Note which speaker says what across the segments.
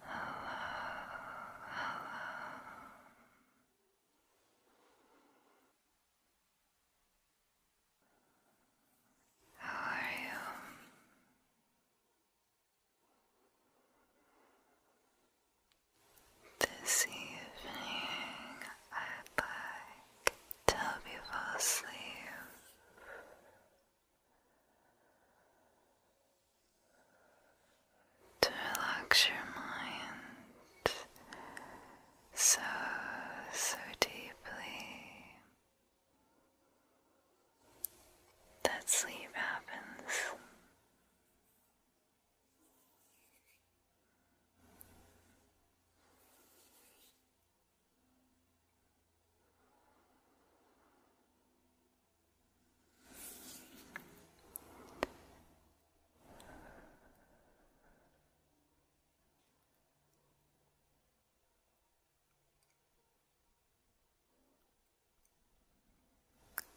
Speaker 1: How are you? This evening, i to help you fall asleep. To relax your mind so, so deeply that sleep happens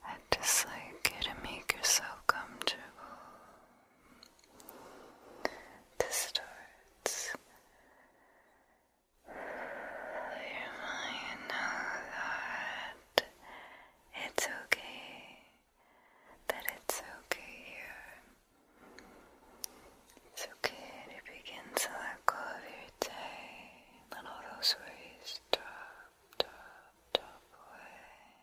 Speaker 1: i just like it, to make yourself comfortable distorts your mind. Know that it's okay, that it's okay here. It's okay to begin to let go of your all those worries drop, drop, drop away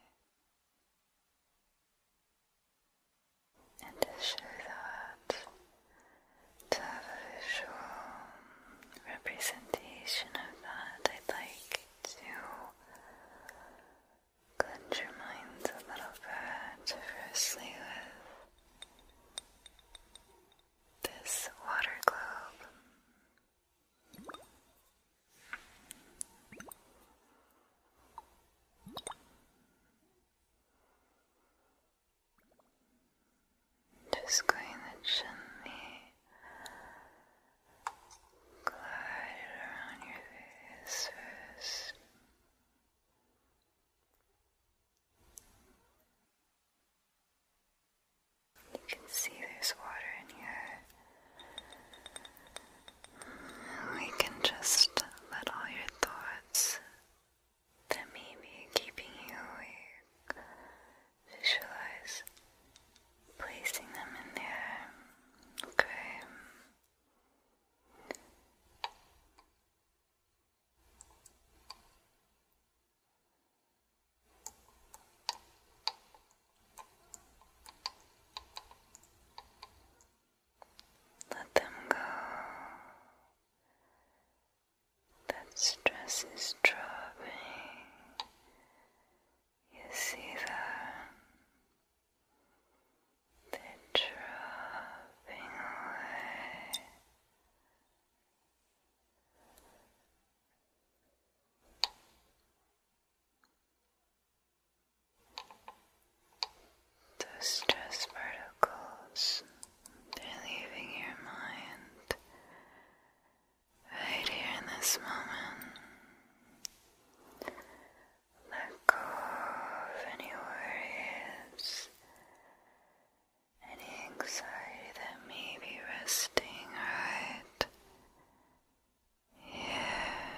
Speaker 1: and to show that to have a visual representation of that, I'd like to cleanse minds a little bit, firstly with this water globe. Just going to gently around your face You can see there's water in here. We can just let all your thoughts that may keeping you awake visualize placing them in there. Okay. Let them go. That stress is dropping. You see that? They're dropping away. The stress particles, they're leaving your mind right here in this moment. Let go of any worries, any anxiety that may be resting right. Yeah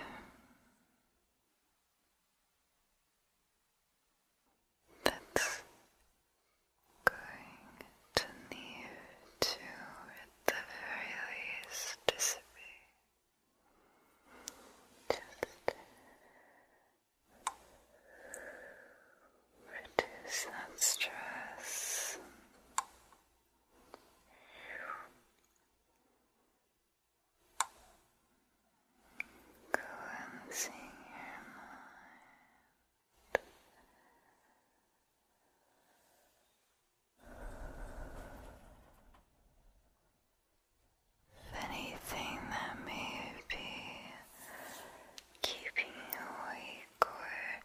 Speaker 1: that's going to need to, at the very least, dissipate. Just reduce that stress cleansing your mind. If anything that may be keeping you awake or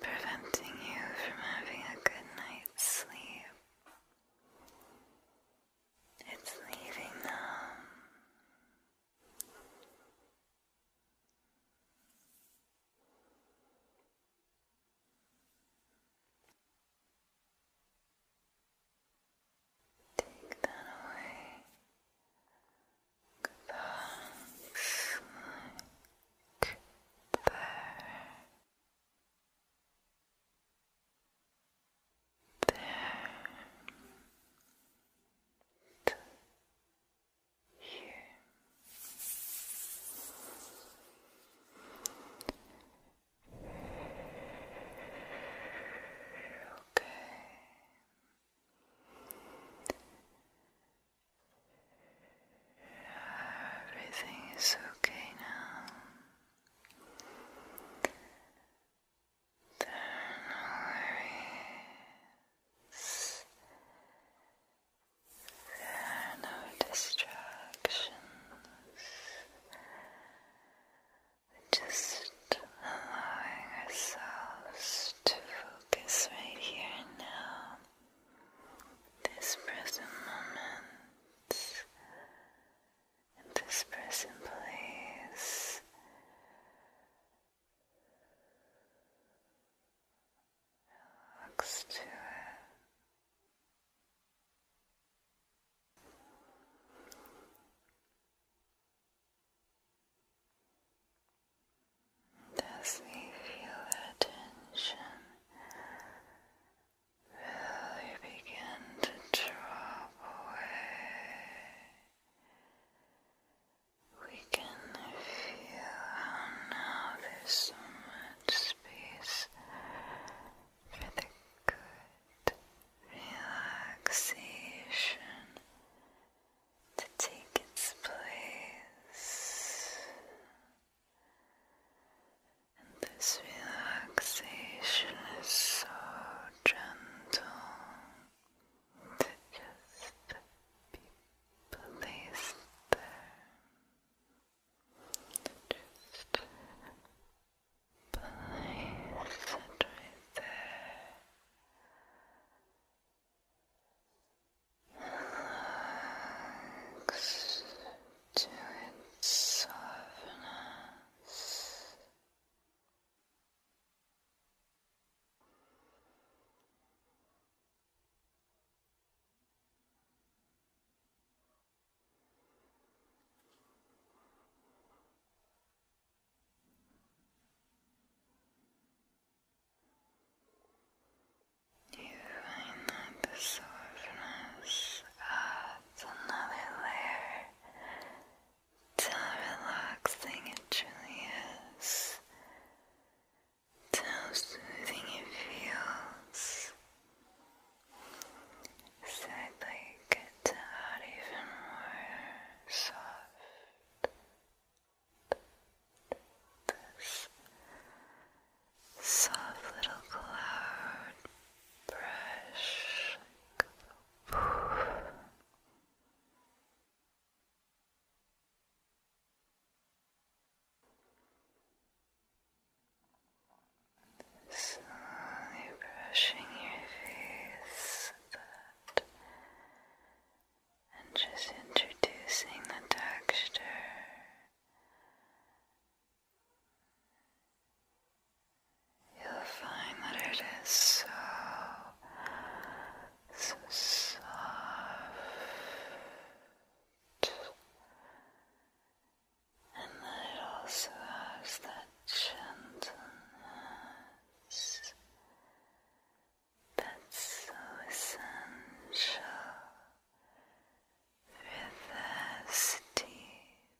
Speaker 1: preventing you from having a good night's sleep, it's leaving them. Take that away. Thanks. Like there. you. Okay. Everything is okay now. There are no distractions. Just allowing ourselves to focus right here and now. This present moment in this present place. Relax to it. Does we feel the Really begin to drop away. We can feel how now there's so much space for the good relaxation to take its place this relaxation is so gentle to just be placed there. Just place right there. Relax to its softness. You find that the softness it's another layer to how relaxing it truly is, to how soothing it feels. So it to even more soft this soft little cloud brush. Slowly brushing your face and just introducing the texture You'll find that it is so, so soft. And then it also has that gentleness that's so essential for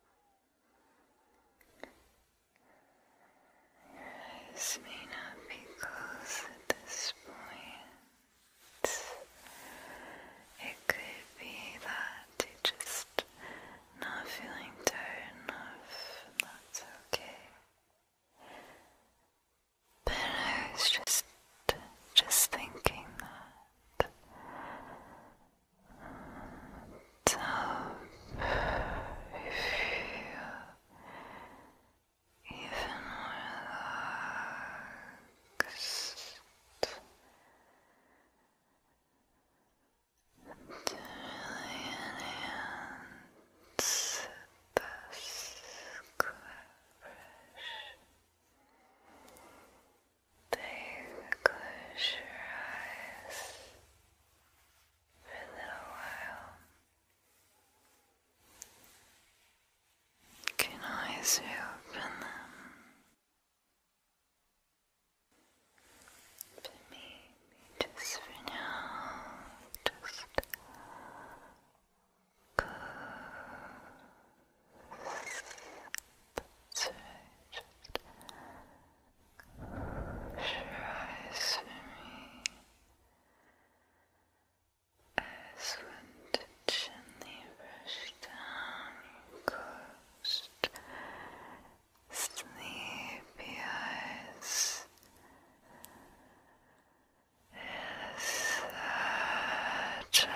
Speaker 1: Your eyes may not be closed at this point. It could be that you just not feeling tired enough, and that's okay. But I was just just thinking that so, if you even relaxed, it really enhance this collaboration. Then close your eyes for a little while. You can always reopen them. But maybe just for now, just Let's see, just me as when to gently brush down your coast, sleepy eyes. It is such a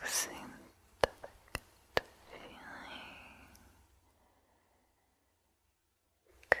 Speaker 1: relaxing delicate feeling. Good. Good.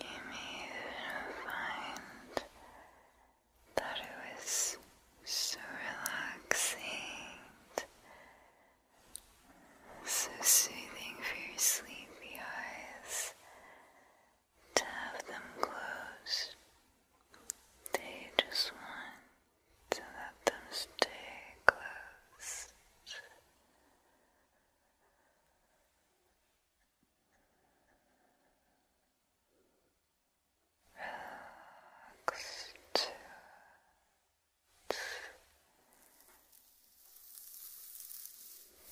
Speaker 1: Amy find that it was so relaxing, so soothing for your sleepy eyes to have them closed. They just want to let them stay closed. Relax to it.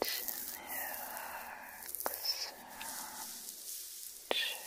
Speaker 1: Relax and chill. Relax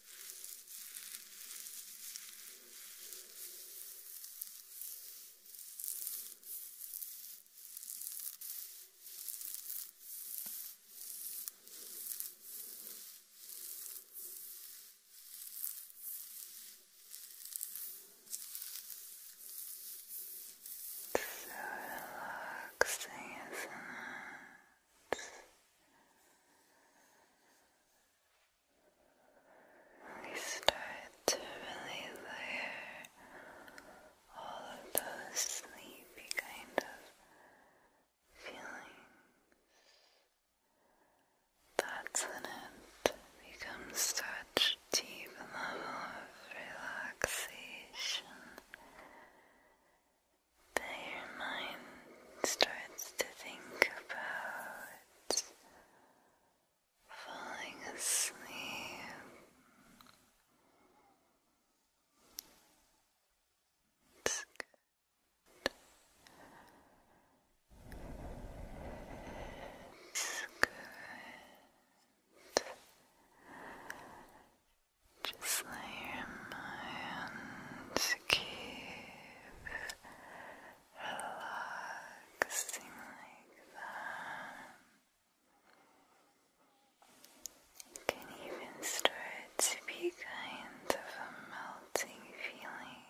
Speaker 1: So relaxing, isn't it? We start to really layer all of those sleepy kind of feelings. That's when it becomes such deep level of relaxation that your mind starts to think about falling asleep. It's good. It's good. Just let your mind give relaxing like that. You can even start to be kind of a melting feeling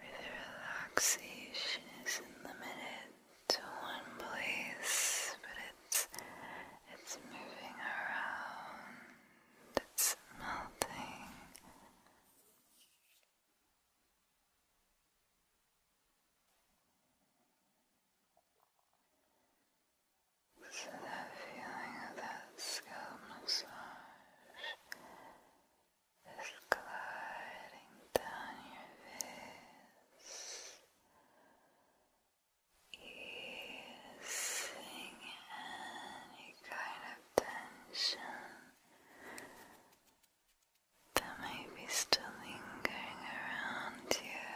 Speaker 1: where the relaxation isn't limited to one place, but it's it's moving around that's melting. So that feeling of that scalp massage is gliding down your face easing any kind of tension that may be still lingering around you.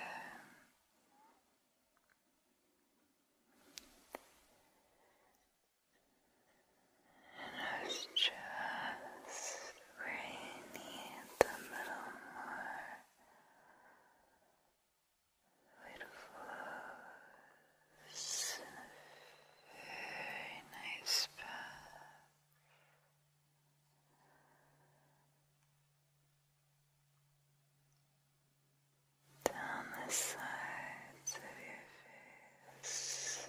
Speaker 1: And it's just where you need a little it flows in a nice path. Down the sides of your face,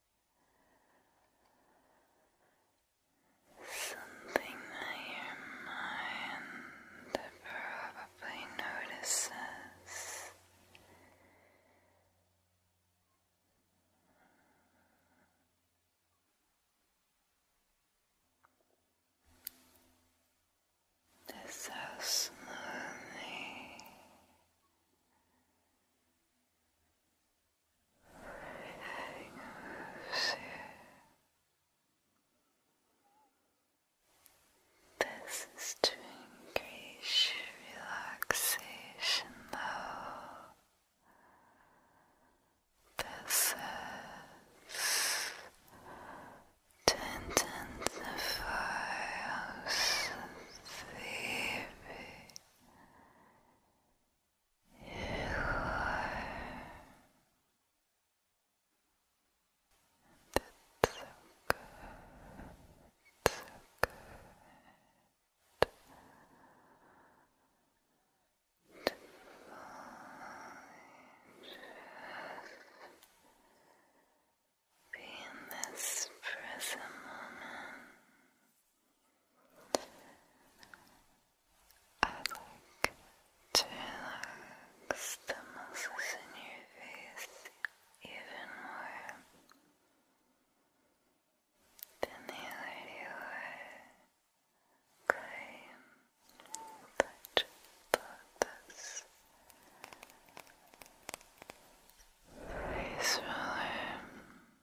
Speaker 1: Something that your mind probably notices. This how slowly this is to increase your relaxation level. This is to intensify how sleepy that's so good. So good. Be in this present moment. I like to relax the muscles in your face even more than they already are. Okay, touch this face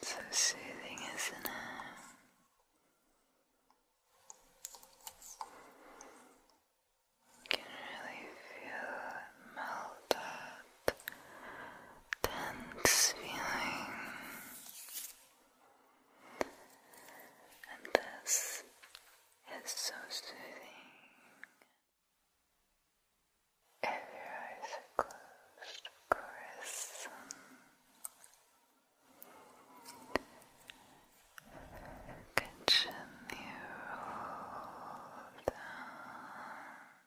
Speaker 1: Ten. It's so soothing, isn't it? You can really feel melt up tense feeling. And this is so soothing. If your eyes are closed, of course. Gently roll down.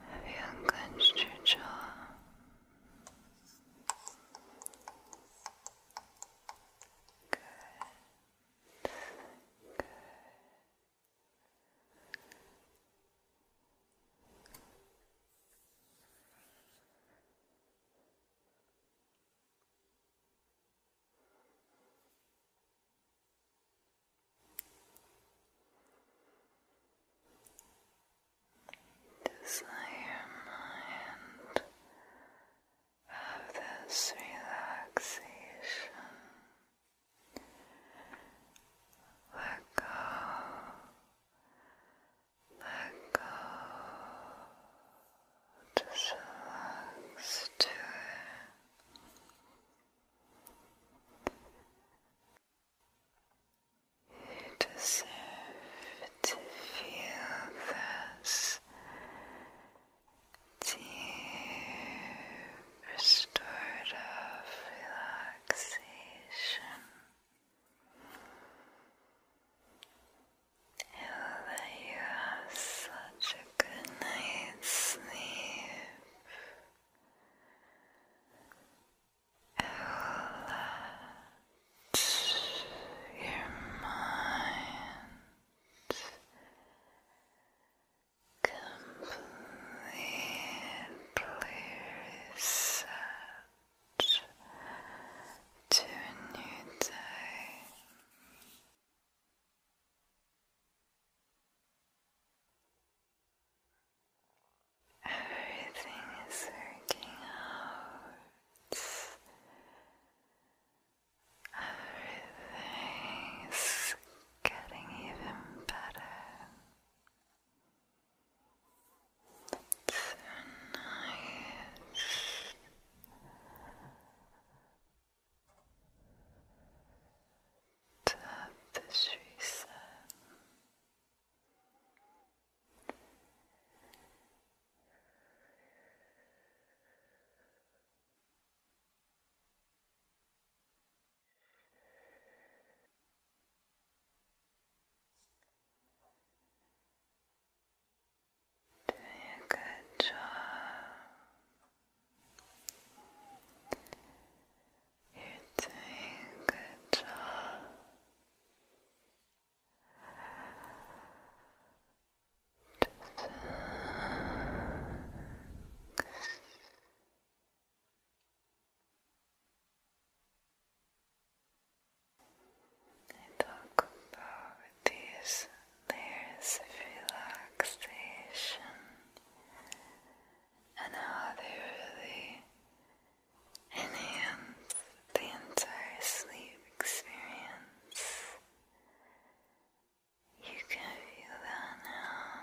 Speaker 1: Have you unclenched your jaw? Good. Good. Desire mind of this relaxation. Let go, let go, relax to you deserve to feel this deep, restorative relaxation. Now that you have such a good night's sleep, let your mind completely set to a new day. Everything is working out. Everything is getting even better. It's so nice tapestries Doing a good job. You're doing a good job. Just talk about these layers relaxation and how they really enhance the entire sleep experience. You can feel that now.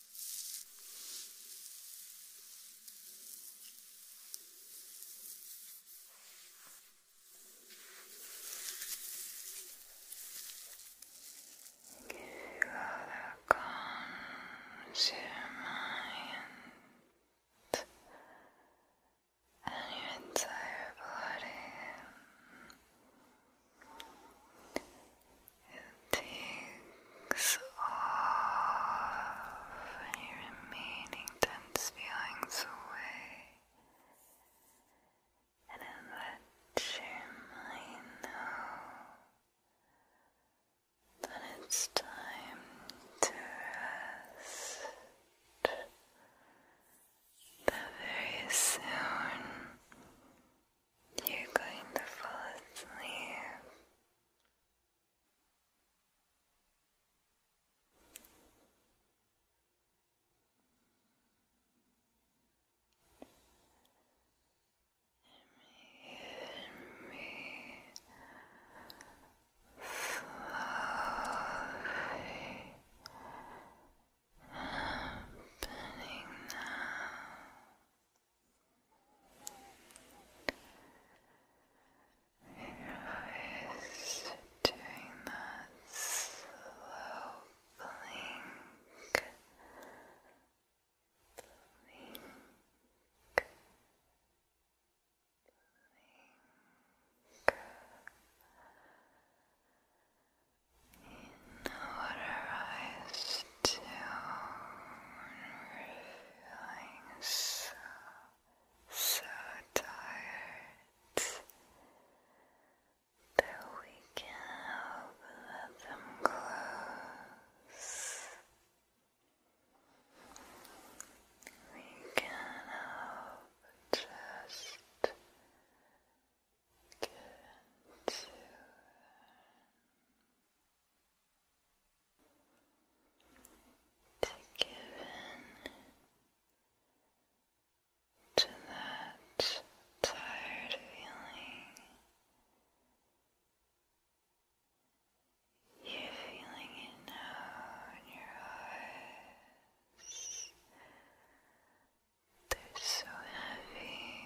Speaker 1: Rather calms your mind and your entire body takes off any remaining tense feelings away. And then let your mind know that it's time to rest. That very soon you're going to fall asleep. And me slowly happening now. Just doing that slow blink, blink, blink. You know what to feeling so, so tired that we can help them close. We can help just get into it to give in to that tired feeling. You're feeling it now your eyes. They're so heavy,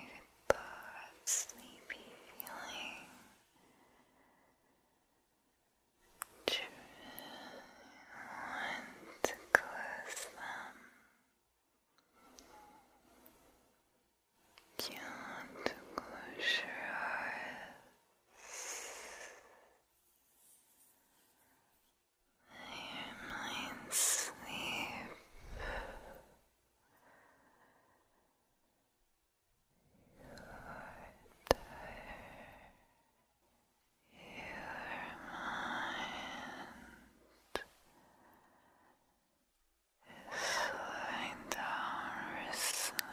Speaker 1: but sleepy feeling. Two and to close them. Count to close your eyes. Your mind sleep is slowing down with sleep.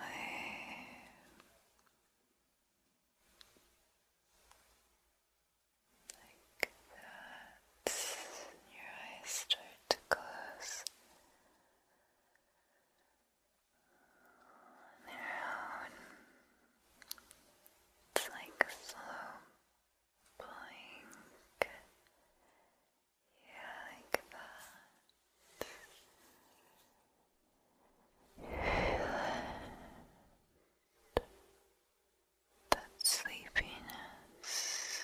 Speaker 1: Like that, your eyes start to close their It's like a slow blink. Yeah, like that. That, that sleepiness.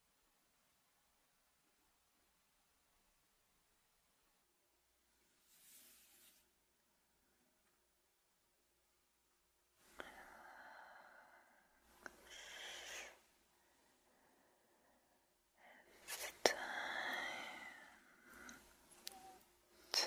Speaker 1: It's time to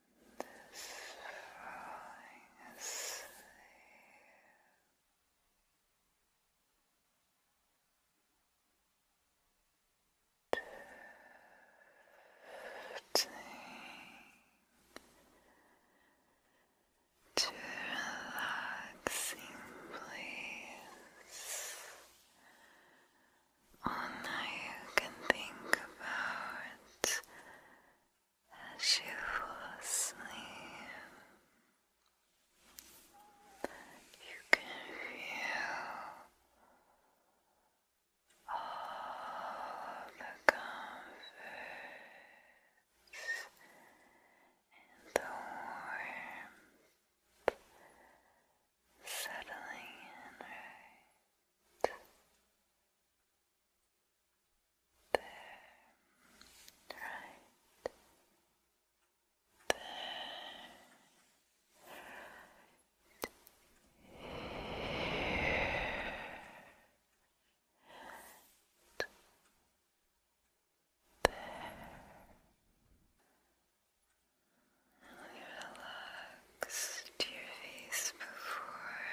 Speaker 1: This falling asleep. Drifting to relaxing place. All night you can think about as you fall asleep, you can feel all the comforts and the warmth settling in there, right there. There. relax to face before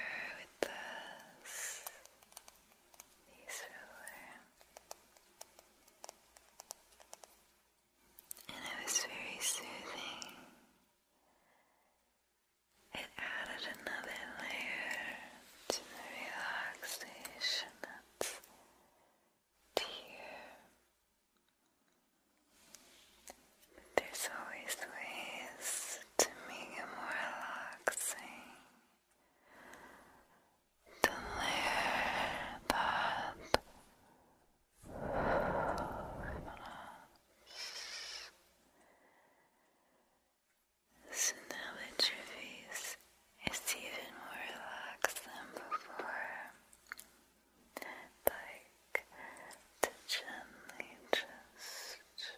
Speaker 1: this piece And it was very soothing. It added another layer to the relaxation that's here. There's always ways to make it more relaxing. To layer that so now that your face is even more relaxed than before, like to gently just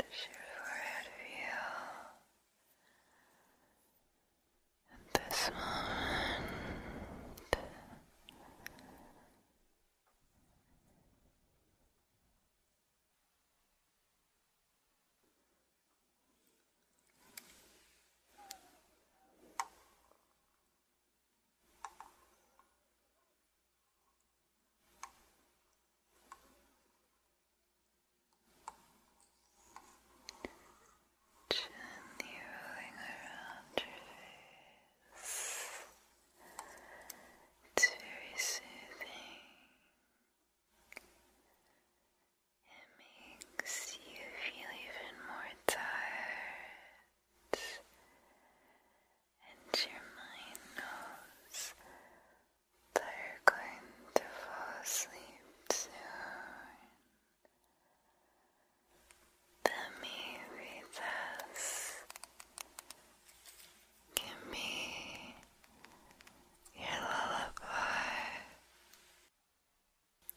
Speaker 1: Just your forehead feel this moment. Gently rolling around your face. It's very soothing. It makes you feel even more tired, and your mind knows that are going to fall asleep soon. The movie thus can be your lullaby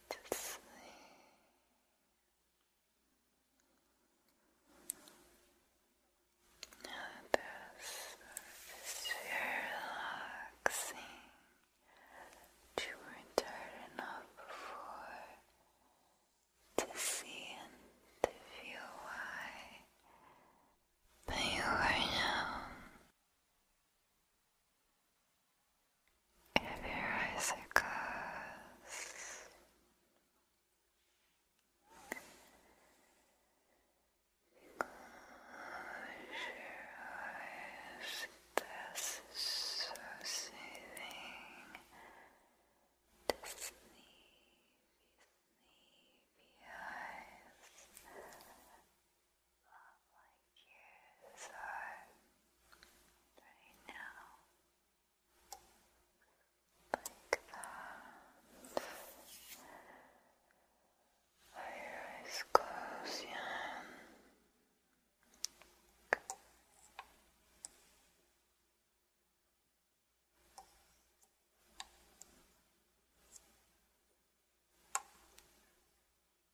Speaker 1: to sleep. Others are just relaxing to enough before to see and to feel why you are now of your icicles. Close your eyes. This so soothing to sleepy, sleepy eyes like you. So, right now, like that. Eyes close, yeah.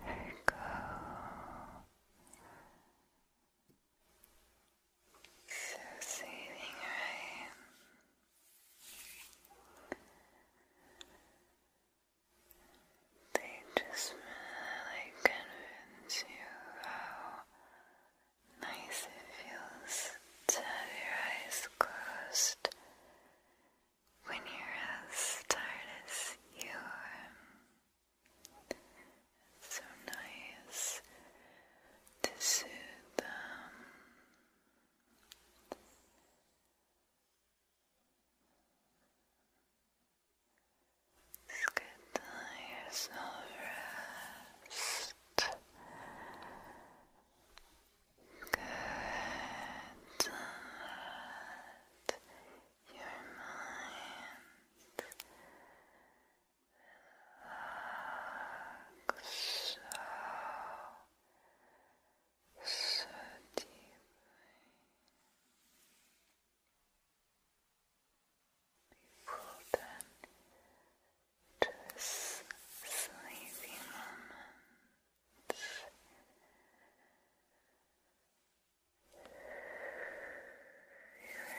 Speaker 1: There you go. So soothing, right? They just really convince you how nice it feels to have your eyes closed when you're as tired as you are. so nice to soothe them. Just get yourself rest. Good. Let your mind so, so deeply. People then to this sleepy moment. You're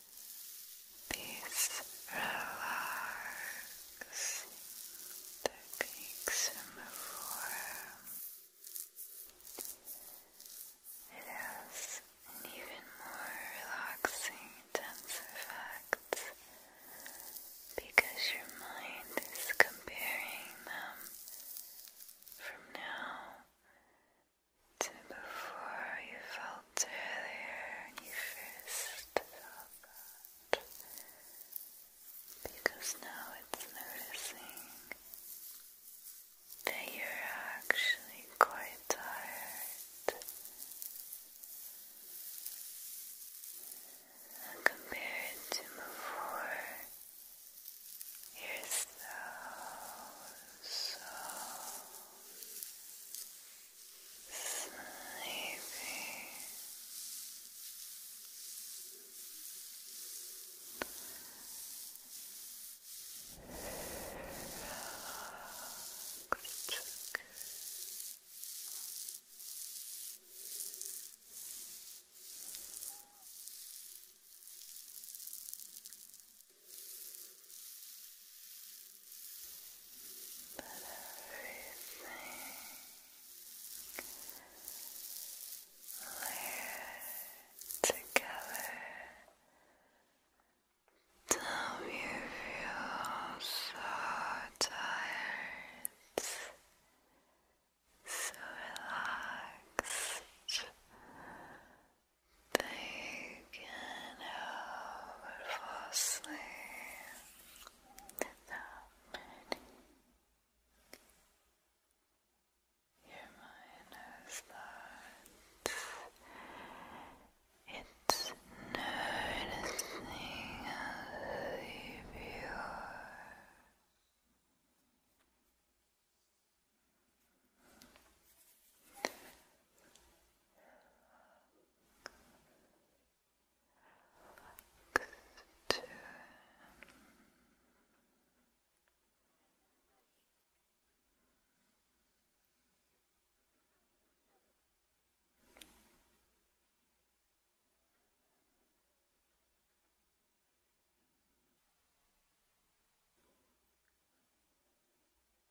Speaker 1: These relaxing techniques form. It has an even more relaxing, effect because your mind is comparing them from now to before you fell felt earlier when Because now it's noticing that you're actually quite tired. compared to before, you sleepy. Relaxed. But everything layered together till you feel so tired, so relaxed that can help but fall asleep Your mind has thoughts. It's noticing how sleepy you are. Relax. Two. Relax.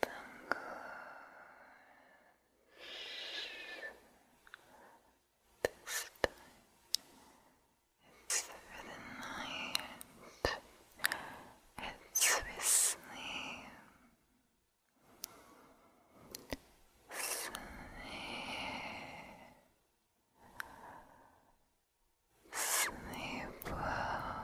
Speaker 1: The this time it's for the night, it's with sleep, sleep well.